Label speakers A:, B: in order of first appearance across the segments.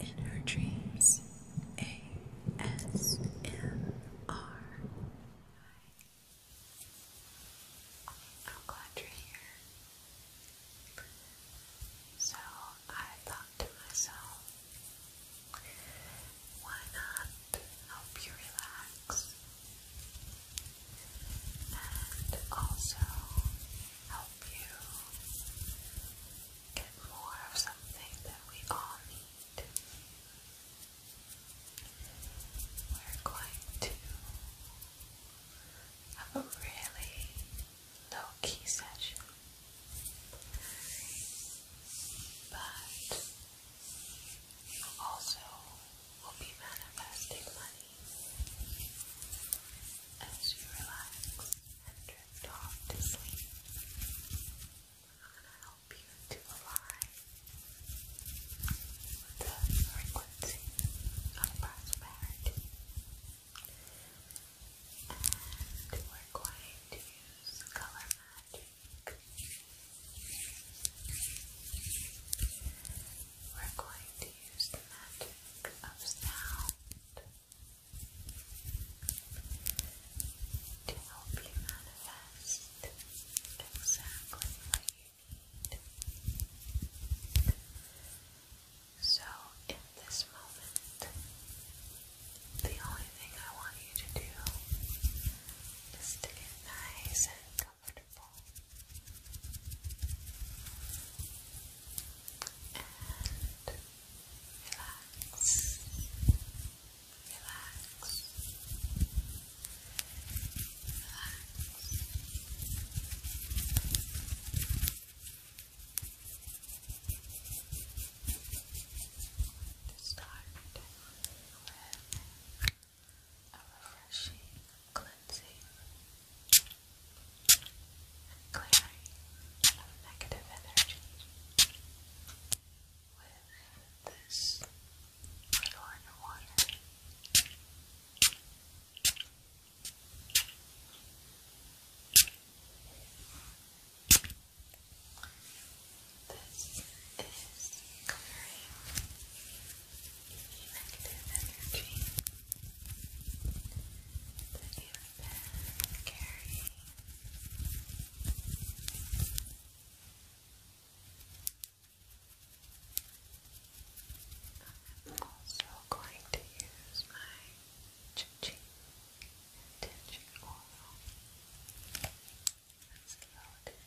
A: In her dreams, ASMR. am glad you're here. So I thought to myself, why not help you relax and also help help you get more of something that we all need. We're going to have a really low key session, but also we'll be manifesting money as you relax and drift off to sleep. I'm going to help you to align with the frequency of prosperity. And we're going to use color magic we're going to use the magic of sound to help you manifest exactly what you need. So, in this moment, the only thing I want you to do is to get nice comfortable. And relax. Relax. Relax. To start a refreshing, cleansing, and clearing of negative energy. With this Lorna water. This is clearing negative energy that you've been carrying. I'm also going to use my Chi-Chi oil. Let's get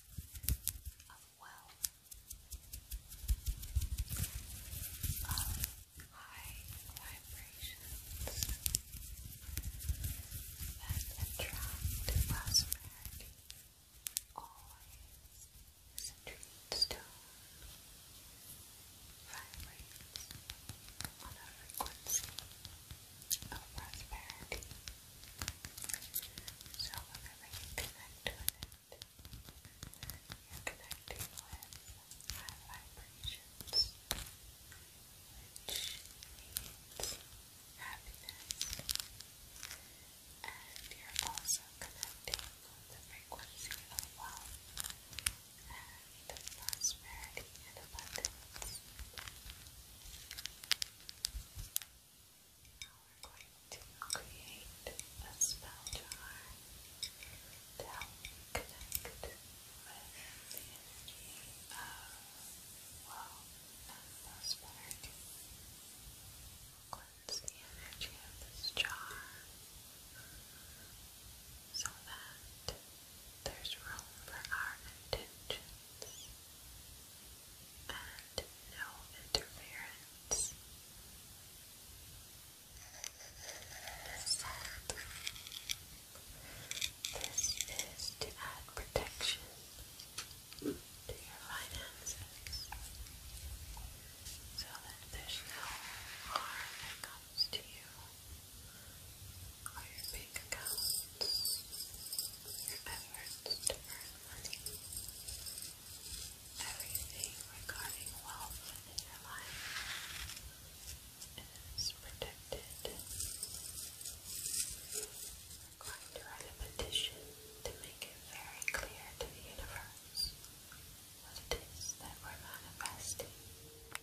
A: of wealth, of high vibrations that attract prosperity. Always is a dreamstone vibrates on a frequency of prosperity. So whenever you connect with it, you're connecting with high vibrations, which means happiness. And you're also connecting with the frequency of wealth and prosperity and abundance. Now we're going to create a spell jar to help connect with the energy of, well, that prosperity. Cleanse the energy of this jar so that there's room for our intentions and no interference. this is to add protection to your finances so that there's no harm that comes to you or your bank accounts, your efforts to earn money, everything regarding wealth in your life is protected. We're going to write a petition to make it very clear to the universe what it is that we're manifesting.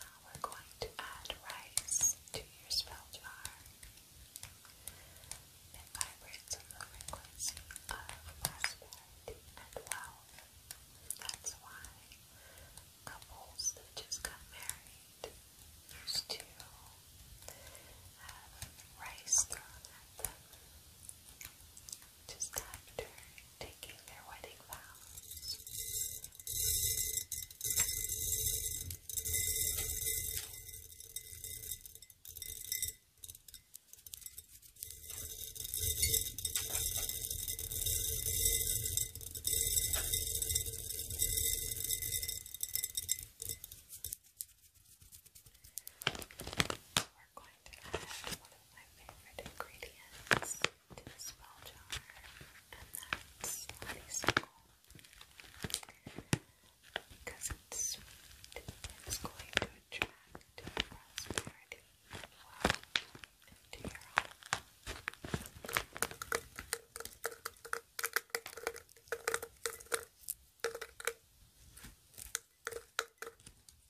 A: Now we're going to add rice to your spell jar. It vibrates on the frequency of prosperity and wealth. That's why couples that just got married used to have rice thrown at them just after taking their wedding vows we're going to add one of my favorite ingredients to the spell jar, and that's honeysuckle.
B: Because it's going to attract prosperity into your home.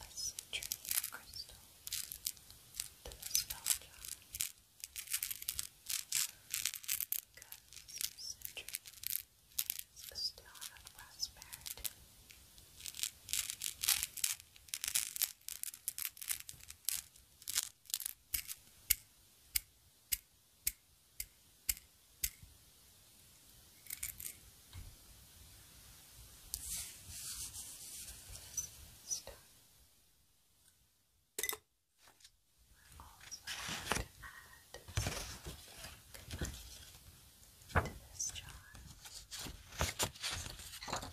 C: a citrine crystal to the spell jar. Because citrine is still out of prosperity. Stop. We're also going to add some to this jar. Now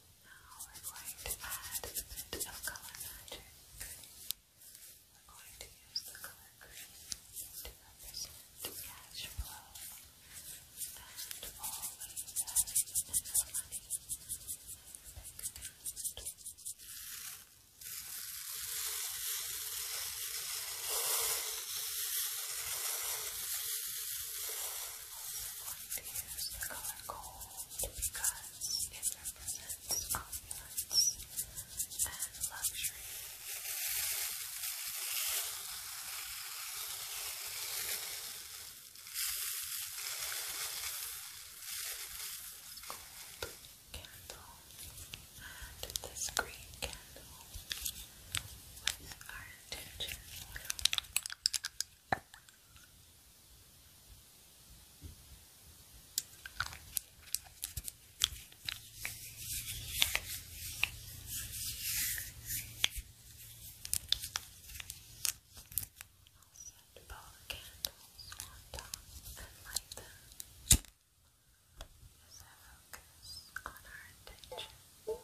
C: Now we're going to add a bit of color magic. We're going to use the color green to represent cash flow and all that is in the money. We're going to use the color gold because it
A: represents opulence and luxury. Gold candle this green candle with our intention set both candles on top and light them as I focus on our intention.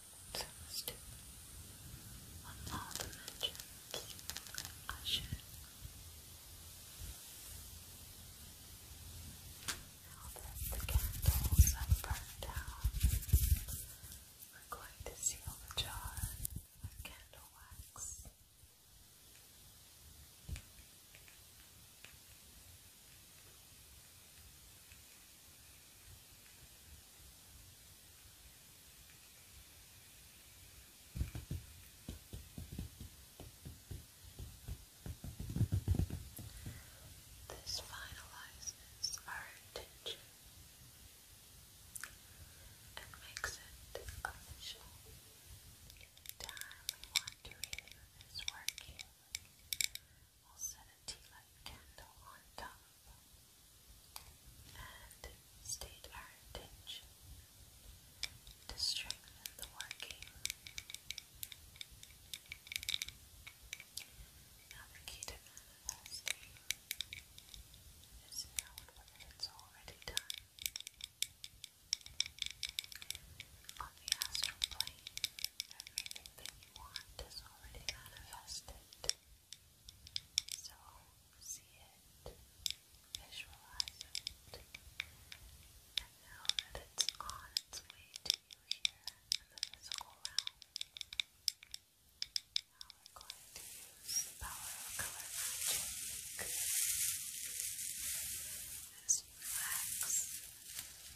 A: sounds too. On all I should. Now that the candles have burned down, we're going to seal the jar with candle wax. This finalizes our intention and makes it official. Time we want to review this working. I'll set a tea light candle on top and state our intention to strengthen the working. Now the key to manifesting is knowing whether it's already done. On the astral plane, everything you want is already manifested. So see it, visualize it, and know that it's on its way to you here in the physical realm. Now we're going to use the power of color magic. As you relax,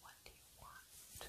A: What do you want? What